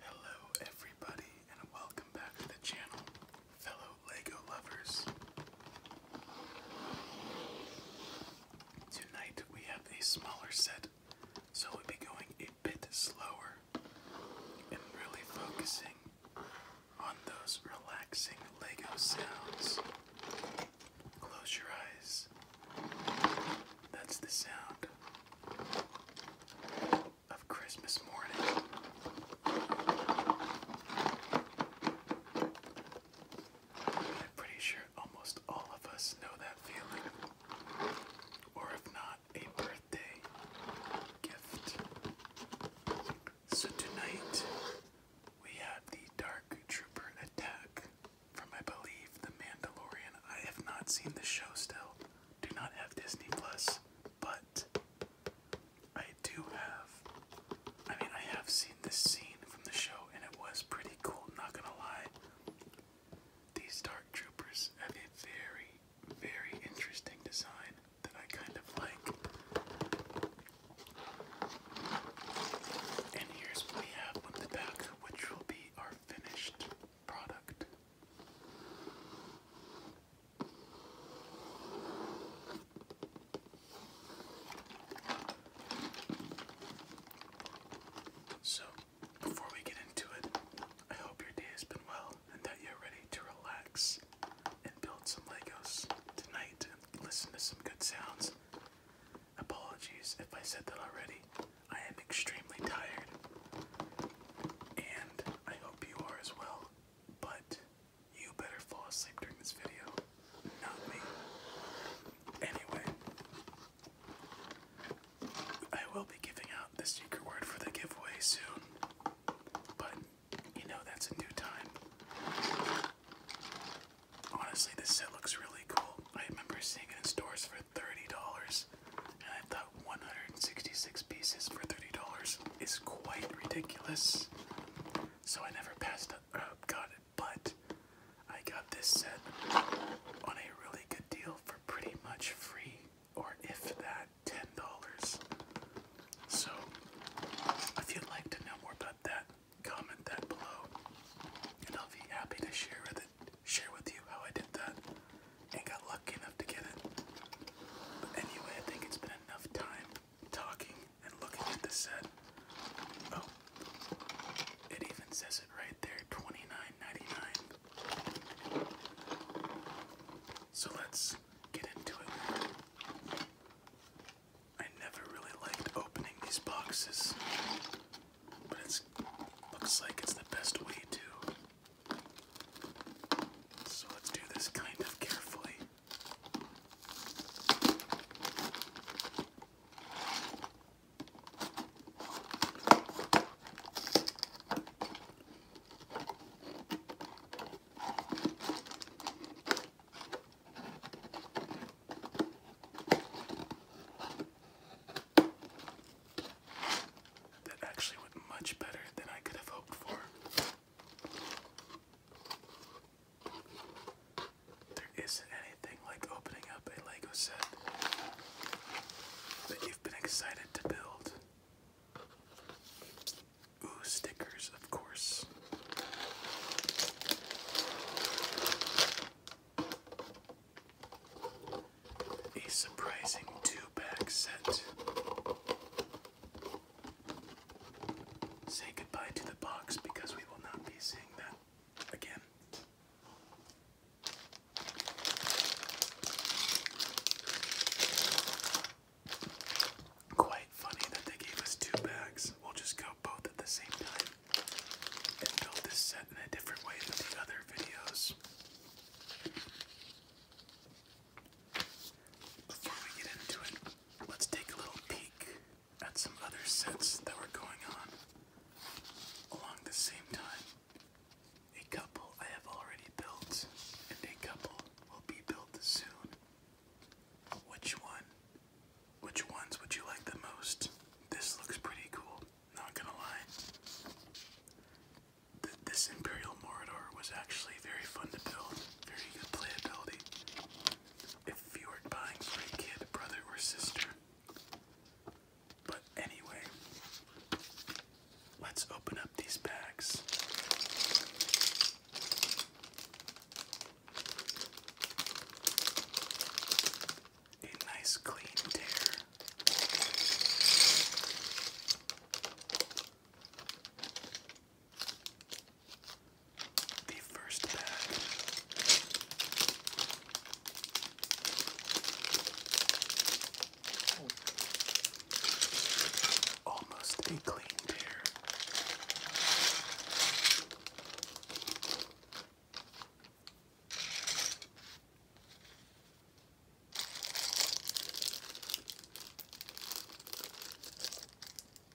Hello, everybody, and welcome back to the channel, fellow LEGO lovers. Tonight we have a smaller set, so we'll be going a bit slower and really focusing on those relaxing Lego sounds. Close your eyes. That's the sound of Christmas morning. I'm pretty sure almost all of us know that feeling. Or if not, a birthday gift. So tonight we have the Dark Trooper attack from I believe The Mandalorian. I have not seen the show still. Do not have Disney Plus, but I do have I mean I have seen this scene from the show and it was pretty cool, not gonna lie. These Dark Troopers have a very very interesting design that I kind of like. And here's what we the back, which will be our finished product. So, before we get into it, I hope your day has been well and that you're ready to relax and build some Legos tonight and listen to some good sounds. Apologies if I said that already. I am extremely tired, and I hope you are as well. But you better fall asleep during this video, not me. Anyway, I will be giving out the secret word for the giveaway soon, but you know that's a new time. Honestly, this set looks really cool. I remember seeing it in stores for $30, and I thought 166 pieces for $30 is quite ridiculous. So I never passed up, uh, got it, but I got this set on a really good deal for pretty much free or if that, ten dollars. So, if you'd like to know more about that, comment that below, and I'll be happy to share with it, share with you how I did that, and got lucky enough to get it. But anyway, I think it's been enough time talking and looking at the set. Oh, it even says it right there, twenty nine ninety nine. So let's get into it. I never really liked opening these boxes, but it looks like it's the best way to. So let's do this kind of carefully. That actually went much better than I could have hoped for. There isn't anything like opening up a Lego set that you've been excited to build. Ooh, stickers, of course. A surprising two-pack set. Say goodbye to the box because we will not be seeing that again. Quite funny that they gave us two bags. We'll just go both at the same time and build this set in a different way than the other videos. Before we get into it, let's take a little peek at some other sets that were going on along the same time. A couple I have already built, and a couple will be built soon. Which one? Which ones would you like the most? This looks pretty cool, not gonna lie. this Imperial Morador was actually very fun to build, very good playability. If you were buying for a kid, brother, or sister. But anyway, Let's open up these bags. A nice clean tear. The first bag Almost a clean pair.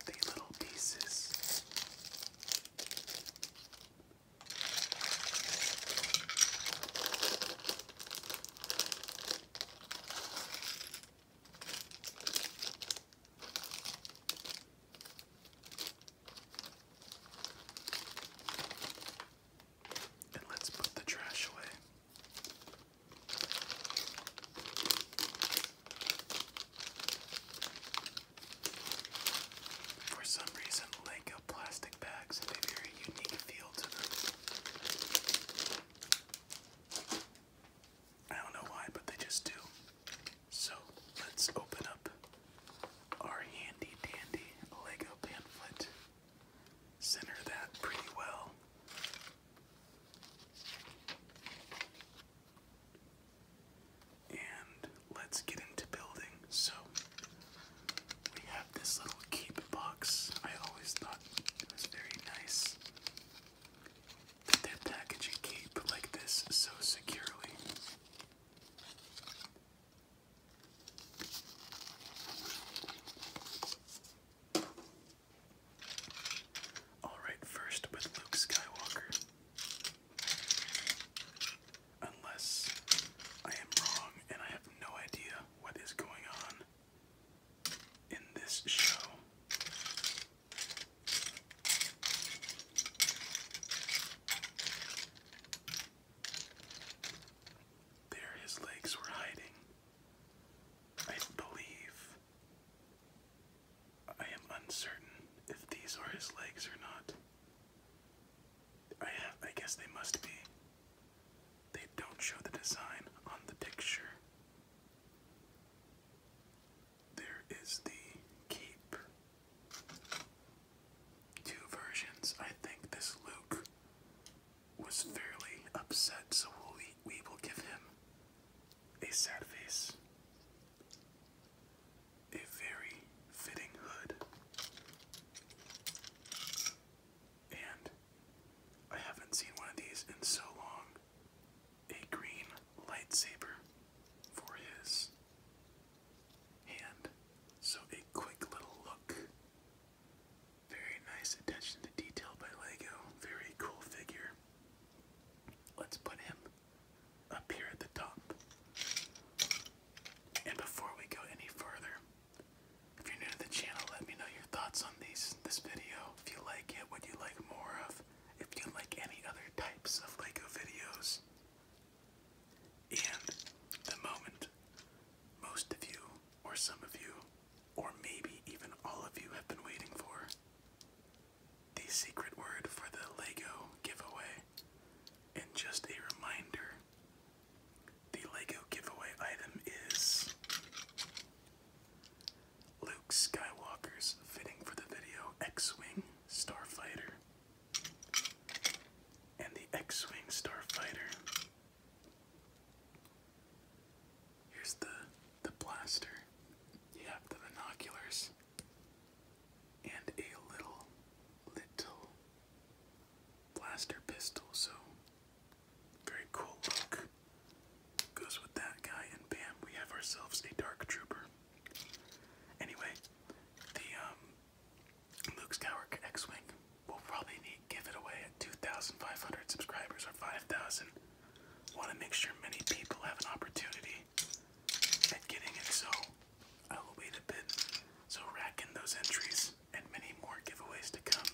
The little pieces and let's put the trash away. For some reason, Lego plastic bags have a very unique feel to them. I don't know why, but they just do. So let's open up our handy dandy Lego pamphlet. Center that pretty well. And let's get into building. So we have this little keep box. I always thought it was very nice that packaging keep like this so securely? Alright, first with Luke Skywalker. Unless I am wrong and I have no idea what is going on in this show. There his legs were hiding. I believe. I am uncertain if these are his legs or not. I have, I guess they must be. They don't show the design on the picture. There is the cape. Two versions. I think this Luke was fairly upset, so we we will give him a sad face. A very fitting hood. And I haven't seen one of these in so long. A green lightsaber for his hand. So a quick little look. Very nice attention to detail by Lego. Very cool figure. Let's put him up here at the top. And before we go any further, if you're new to the channel, let me know your thoughts on these this video. If you like it, what you like more of. If you like any other types of Lego videos. And the moment most of you, or some of you, or maybe even all of you have been waiting for. The secret word for the Lego giveaway. And just a reminder the Lego giveaway item is Luke Skywalker's fitting for the video X-Wing Starfighter. And the X-Wing Starfighter. Here's the the blaster. You have the binoculars and a little little blaster pistol, so very cool look. Goes with that guy, and bam, we have ourselves a Dark Trooper. Anyway, the um, Luke Skywalker X-Wing will probably need, give it away at 2,500 subscribers or 5,000. Want to make sure many people have an opportunity at getting it, so I will wait a bit. So rack in those entries and many more giveaways to come.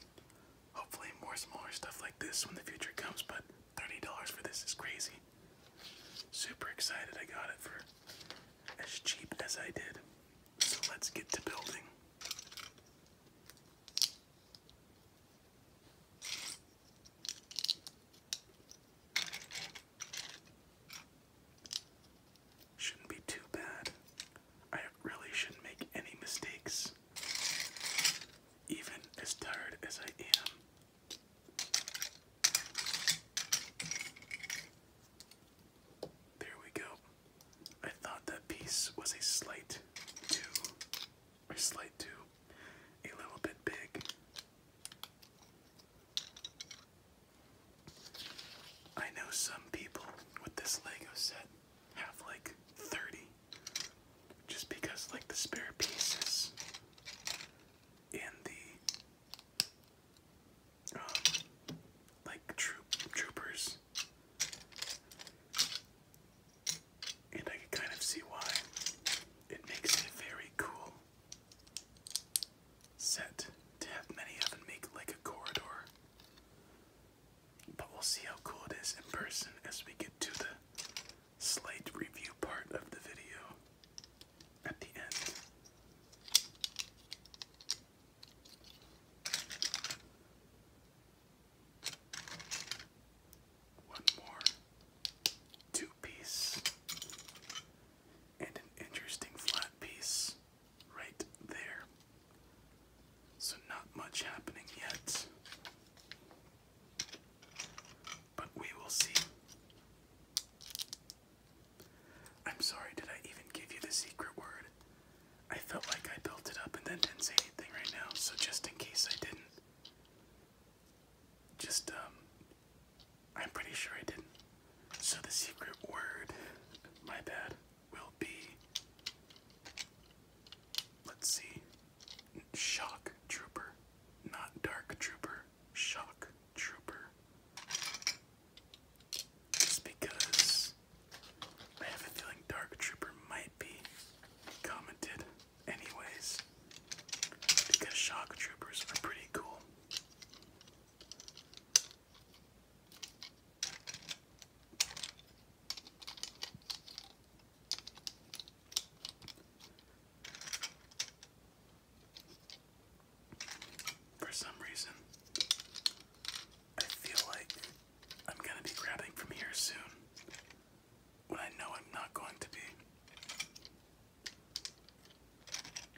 Hopefully, more smaller stuff like this when the future comes, but $30 for this is crazy. Super excited I got it for as cheap as I did. So let's get to building. Shouldn't be too bad. I really shouldn't make any mistakes even as tired as I am. There we go. I thought that piece was a slight too, or slight too, a little bit big. I know some people with this Lego set have like 30 just because like the spare pieces and the um like troop troopers and I can kind of see why it makes a very cool set to have many of and make like a corridor but we'll see how cool it is in person as we get to the slight review part of the video at the end. One more two piece and an interesting flat piece right there. So, not much happening yet. But we will see. I'm sorry, did I even give you the secret word? I felt like I built it up and then didn't say anything right now, so just in case I didn't. Just, um, I'm pretty sure I didn't. So the secret word, my bad, will be Let's see. Shock Trooper. Not Dark Trooper. Shock Trooper. Just because I have a feeling Dark Trooper might be commented anyways. Because Shock Troopers are pretty cool. For some reason, I feel like I'm going to be grabbing from here soon when I know I'm not going to be.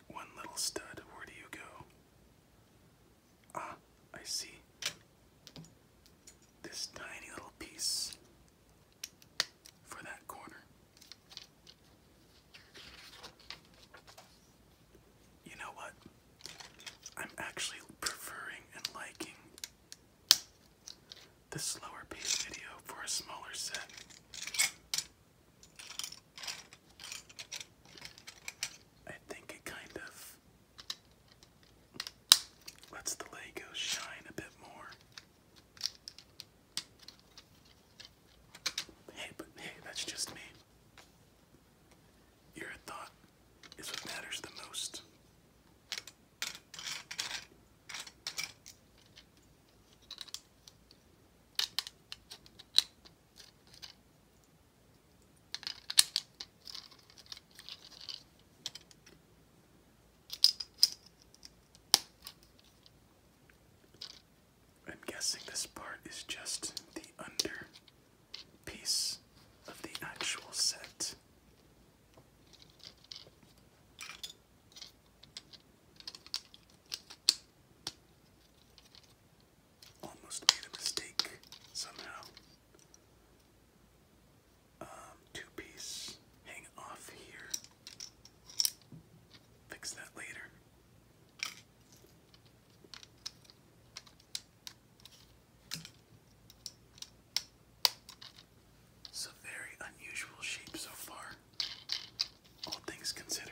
One little stud, where do you go? Ah, I see this tiny little piece for that corner. You know what? I'm actually preferring and liking this slower pace video for a smaller set. I think it kind of Let's the Lego shine a bit more. Hey, but hey, that's just me. Your thought is what matters the most. I'm guessing this part is just the under piece of the actual set. Almost made a mistake somehow. Um, two piece hang off here. Fix that later. So, very unusual shape so far, all things considered.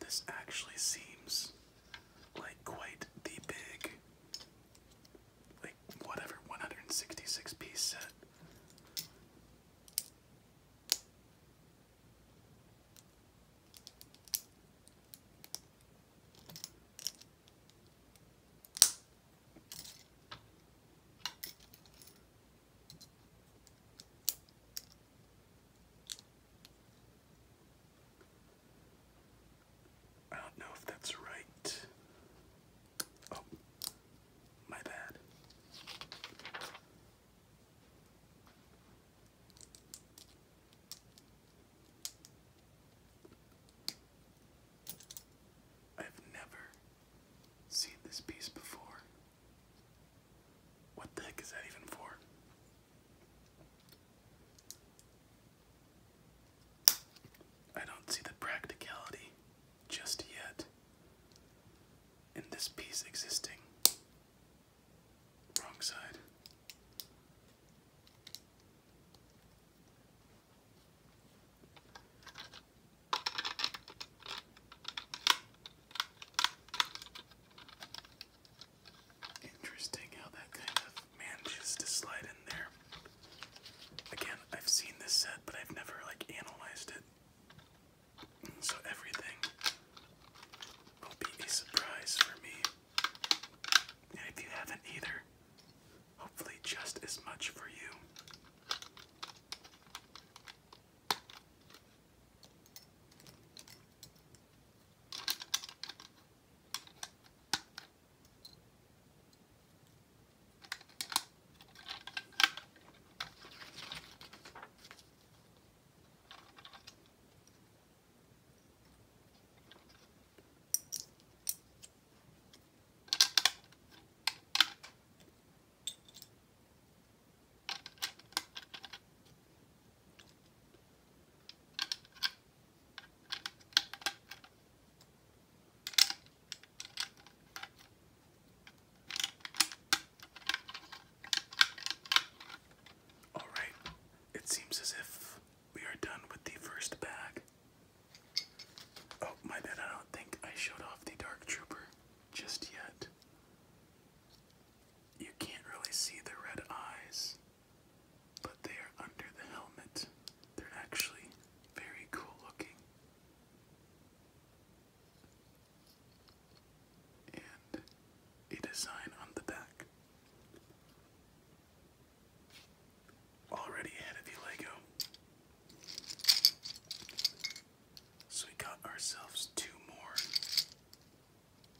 This actually seems like quite the big, like whatever, 166 piece set. I don't know if that's right. Oh, my bad. I've never seen this piece before. What the heck is that even for? I don't see the practicality just yet in this piece existing. Wrong side. Interesting how that kind of manages to slide in there. Again, I've seen this set, but I've never like analyzed it. So everything will be a surprise for me. And haven't either, Hopefully, just as much for you. All right, it seems as if we are done with the first bag. Oh, my bad. I don't think I showed off the Dark Trooper just yet. You can't really see the red eyes, but they are under the helmet. They're actually very cool looking. And a design on the back. Already added the Lego. So we got ourselves two more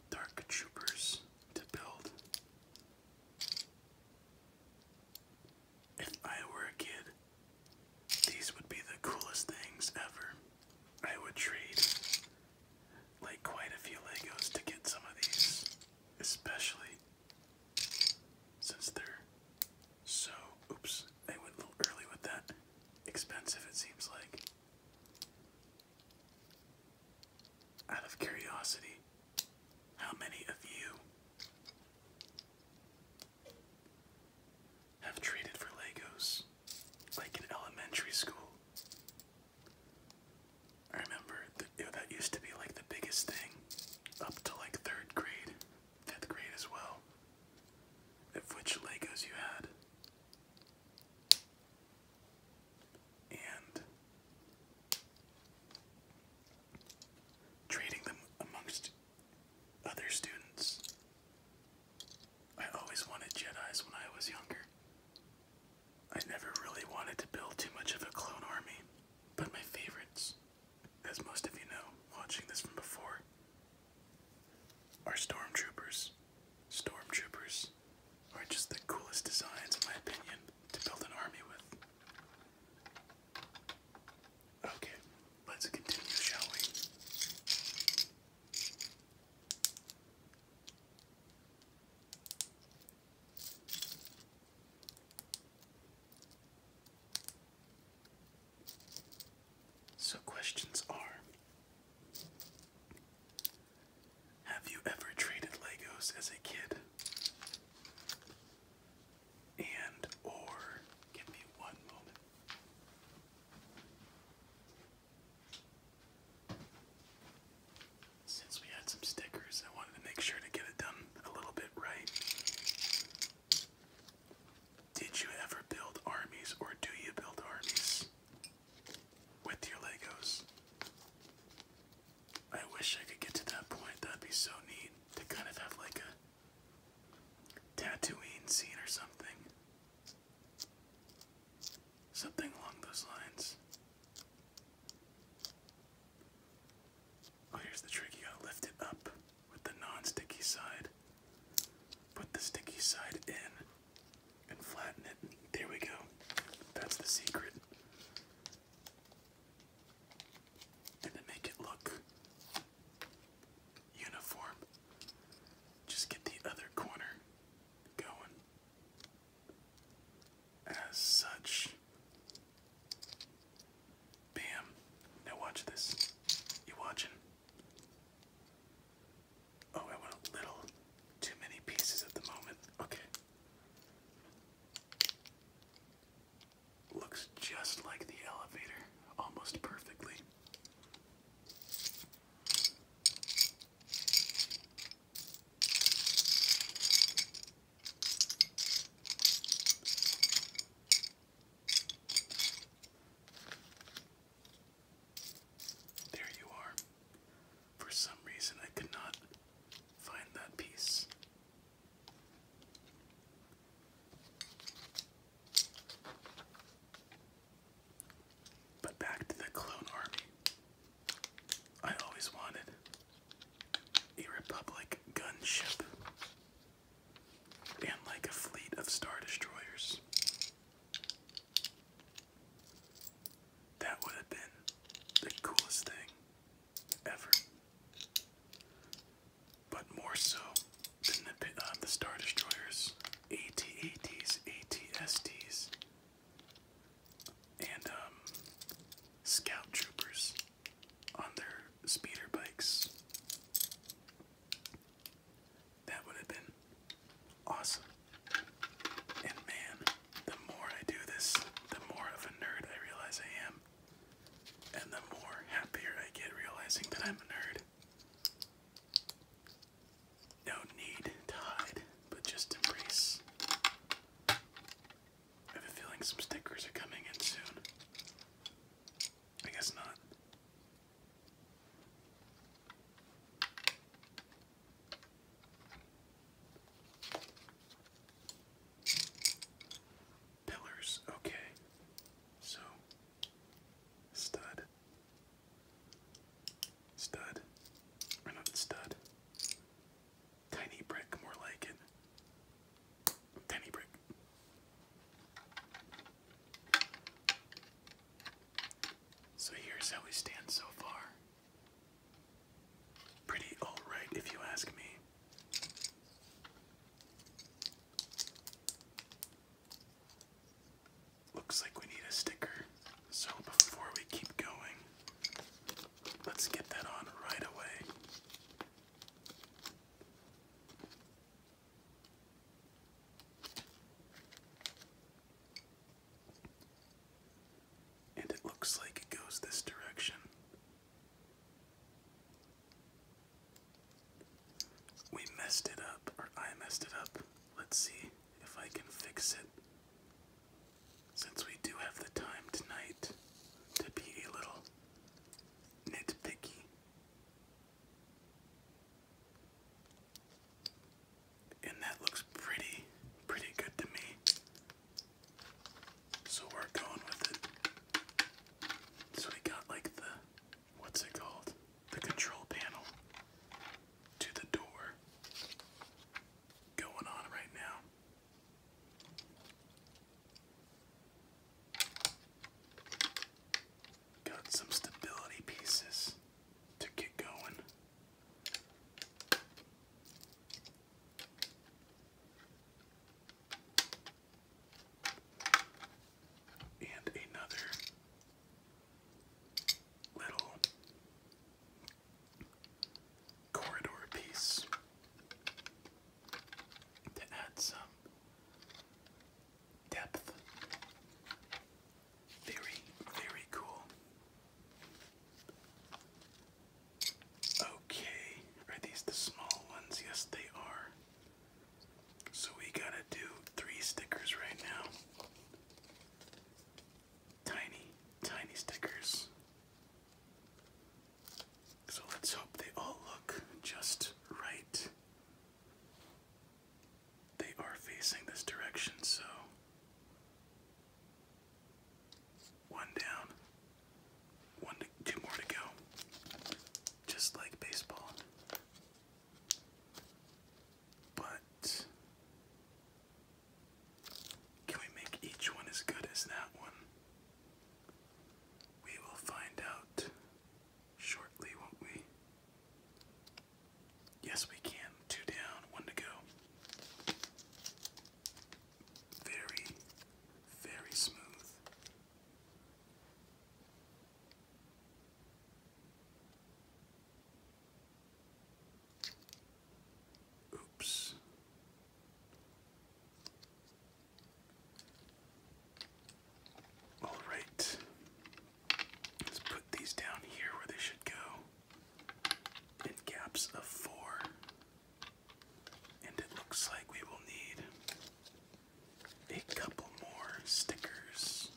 Dark Troopers to build. If I were a kid, these would be the coolest things ever. I would trade like quite a few Legos to get some of these, especially since they're so, oops, I went a little early with that. Expensive, it seems like. Out of curiosity, how many of you have traded for Legos like in elementary school? I remember it, that used to be like the biggest thing up to like third grade, fifth grade as well. Of which Legos you had. And trading them amongst other students. I always wanted Jedi's when I was younger. I never really wanted to build too much of a clone army, but my favorites as most of you know watching this from before, our stormtroopers. Stormtroopers are just the coolest designs, in my opinion, to build an army with. Okay, let's continue, shall we? So, questions are Have you ever traded Legos as a kid? And, or, give me one moment. Since we had some stickers, I wanted to make sure to get it done a little bit right. Did you ever build armies or do you build armies with your Legos? I wish I could get to that point. That'd be so neat to kind of have like a Tatooine scene or something. Something along those lines. Oh, here's the trick. You gotta lift it up with the non-sticky side. Put the sticky side in and flatten it. There we go. That's the secret. And to make it look uniform, just get the other corner going. As such, Bam. Now watch this. You watching? Oh, I went a little too many pieces at the moment. Okay. Looks just like the elevator, almost perfectly. There you are. For some reason, I could not find that piece. But back to the clone army. I always wanted a Republic gunship, and like a fleet of Star Destroyers. That would have been the coolest thing ever. But more so than the, uh, the Star Destroyers, AT-ATs, ATSTs, and um, Scout Troopers on their speeder bikes. That would have been awesome. And man, the more I do this, the more of a nerd I realize I am. And the more happier I get realizing that I'm a nerd. No need to hide, but just embrace I have a feeling some stickers are coming in soon. I guess not. Pillars, okay. So, stud, stud, or stud, Tiny brick, more like it. Tiny brick. So here's how we stand so far. Pretty alright, if you ask me. Looks like we need a sticker. So before we keep going, let's get that on right away. And it looks like it goes this direction, we messed it up, or I messed it up. Let's see if I can fix it. Since we do have the time tonight to be a little nitpicky. And that looks pretty, pretty good to me. So we're going with it. So we got like the, what's it called? The control panel to the door going on right now. Got some stability pieces to get going. And another little corridor piece to add some depth. Very, very cool. Okay, are these the small ones? Yes, they are. So we gotta do three stickers right now. Tiny, tiny stickers. So let's hope they all look just right. They are facing this direction, so one down, one two more to go, just like baseball. But can we make each one as good as that one? We will find out shortly, won't we? Yes, we can. Two down, one to go. Very, very smooth. Oops. All right. Let's put these down here where they should go in gaps of four. And it looks like we will need a couple more stickers.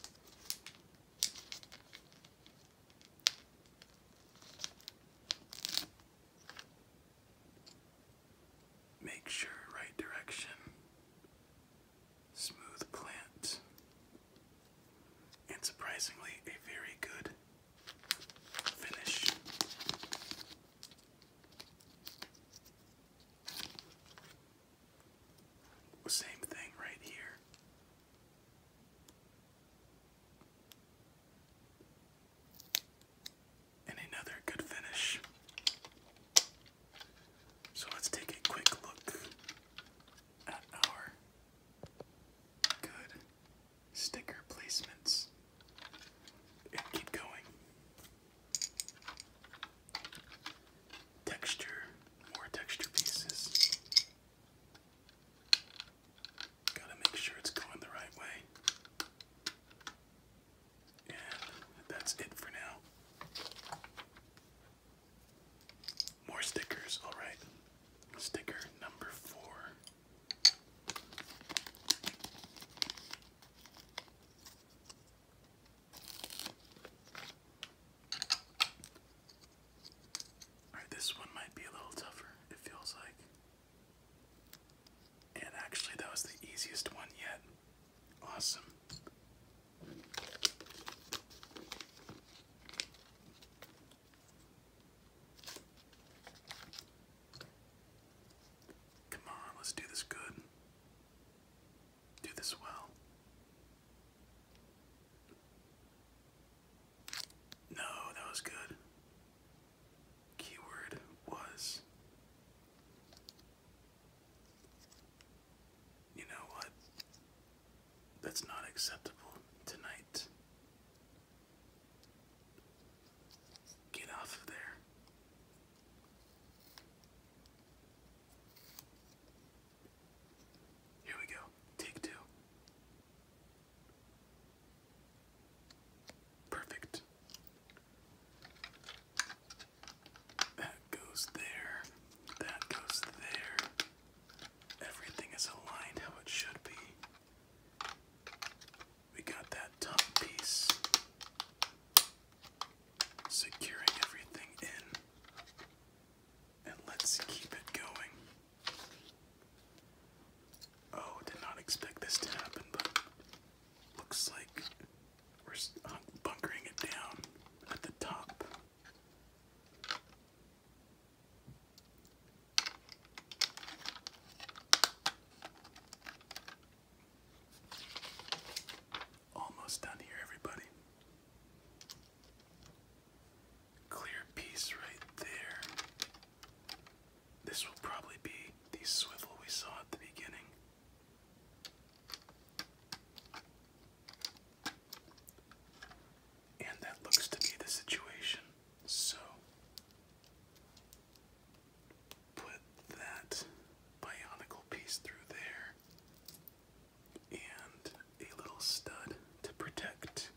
Make sure right direction. Smooth plant. And surprisingly, a very good finish. Same thing right here and another good finish. So let's take a quick look at our good sticker placements and keep going. Texture, more texture pieces. Gotta make sure it's going the right way. And that's it for now. More stickers, alright. Sticker number four. Alright, this one might be a little tougher, it feels like. And actually, that was the easiest one yet. Awesome. Come on, let's do this good. Do this well. No, that was good keyword was you know what? That's not acceptable tonight. Get off of there. Here we go. Take two. Perfect. That goes there. That goes there. Everything is aligned how it should be. We got that top piece securing everything in. And let's keep it going. Oh, did not expect this to happen, but Looks like we're uh, bunkering it down at the top. Almost done here, everybody. Clear piece right there. This will probably be the swivel we saw at the beginning. And that looks to be the situation. So put that bionicle piece through there and a little stud to protect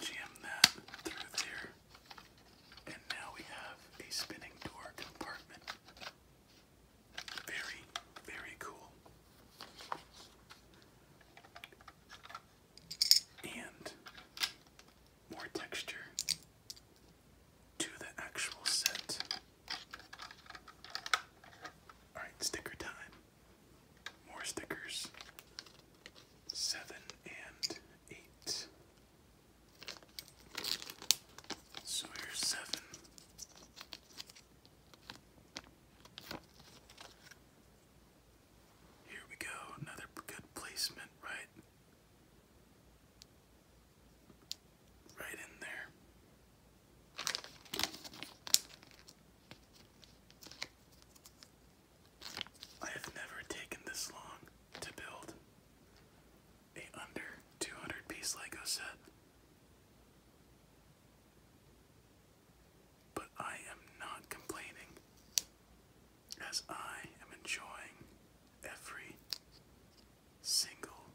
jam that through there, and now we have a spinning door compartment. Very, very cool. And more texture to the actual set. Alright, sticker time. More stickers. Seven and eight. So here's seven. Here we go, another good placement, right? Right in there. I have never taken this long to build a under 200 piece Lego set. But I am not complaining as I am enjoying every single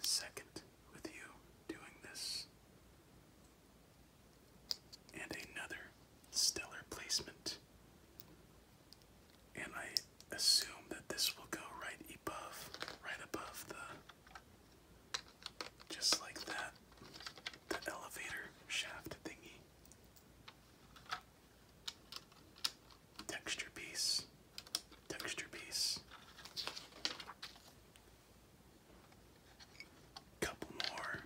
second with you doing this and another stellar placement. And I assume that this will go right above, right above the, just like that, the elevator shaft thingy. Texture piece, texture piece. Couple more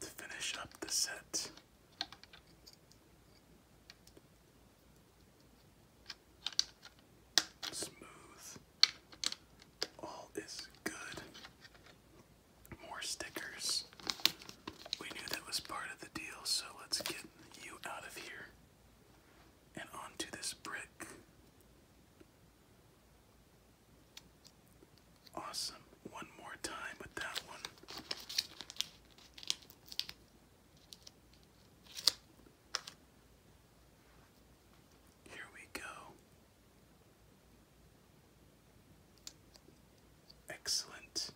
to finish up the set. Smooth. All is good. More stickers. We knew that was part of the deal, so let's get you out of here and onto this brick. Awesome. One more time with that one. Here we go. Excellent.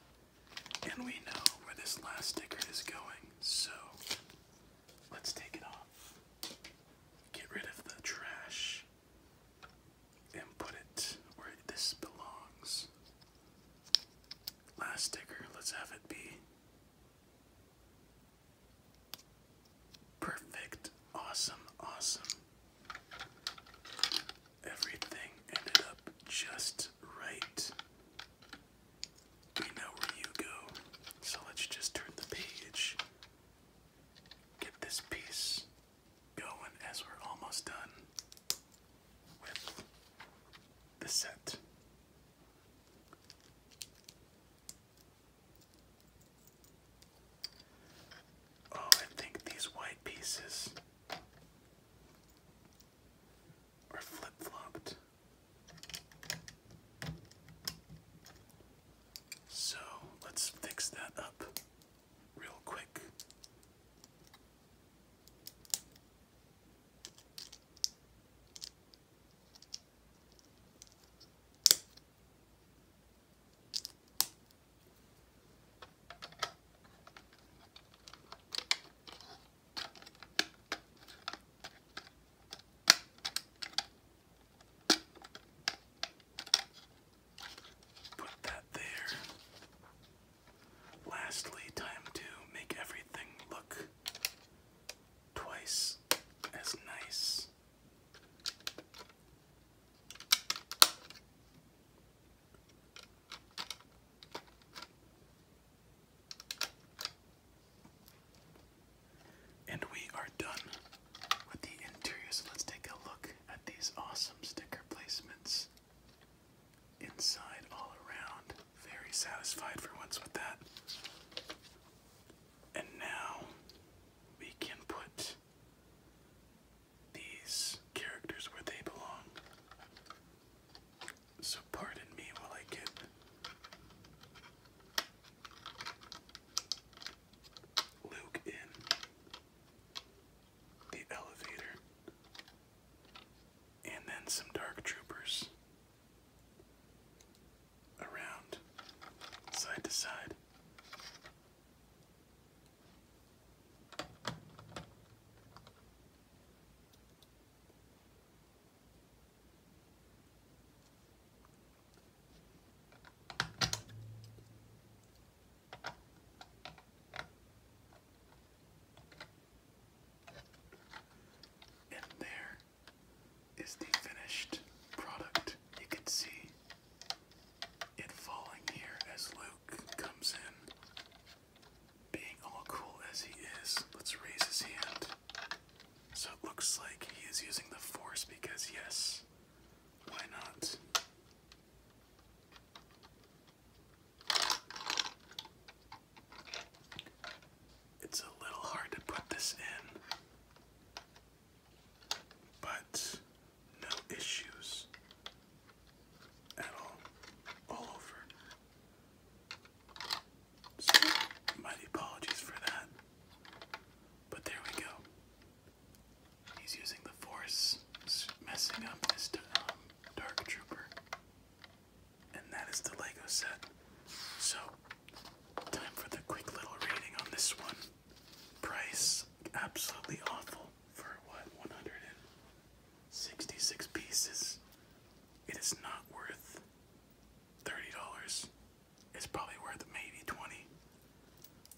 And we know where this last sticker is going, so let's take it off. Get rid of the trash and put it where this belongs. Last sticker, let's have it be perfect, awesome, awesome. Everything ended up just right. We know where you go, so let's just turn the page, get this piece going as we're almost done with the set. Oh, I think these white pieces are flip flopped. So let's fix that up real quick. Put that there. Lastly, time to make everything look twice as nice. And we are done with the interior. So let's take a look at these awesome sticker placements. Inside, all around. Very satisfied for once with that. And now we can put these characters where they belong. So, pardon me while I get Luke in the elevator, and then some dark troopers around side to side. And there is the finished product. You can see it falling here as Luke comes in. Being all cool as he is, let's raise his hand. So it looks like he is using the force because, yes, why not? It's a little hard to put this in, but no issues at all, all over. So, mighty apologies for that. But there we go. He's using the force, messing up his um, Dark Trooper. And that is the Lego set. So, time for the quick little rating on this one. Price absolutely awful for what, 166 pieces. It is not worth $30. It's probably worth maybe 20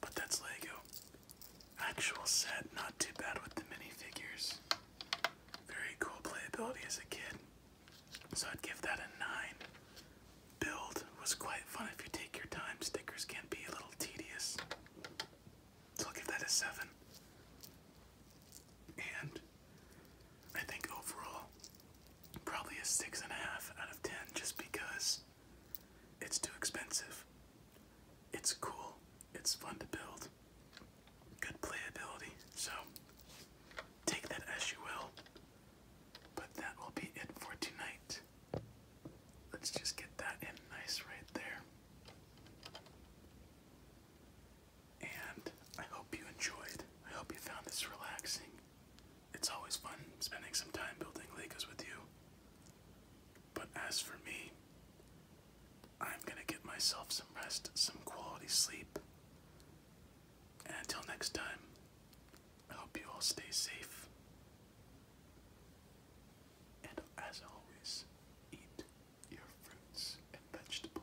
but that's Lego. Actual set, not too bad with the minifigures. Very cool playability as a kid. So I'd give that a 9. Build was quite fun if you take your time. Stickers can be a little tedious. So I'll give that a 7. And I think overall, probably a 6.5 out of 10 just because it's too expensive. It's cool. It's fun to build. Good playability. So take that as you will. But that will be it for tonight. Let's just get that in nice right there. And I hope you enjoyed. I hope you found this relaxing. It's always fun spending some time building Legos with you. But as for me, I'm gonna get myself some rest, some quality sleep. And until next time, I hope you all stay safe. And as always, eat your fruits and vegetables.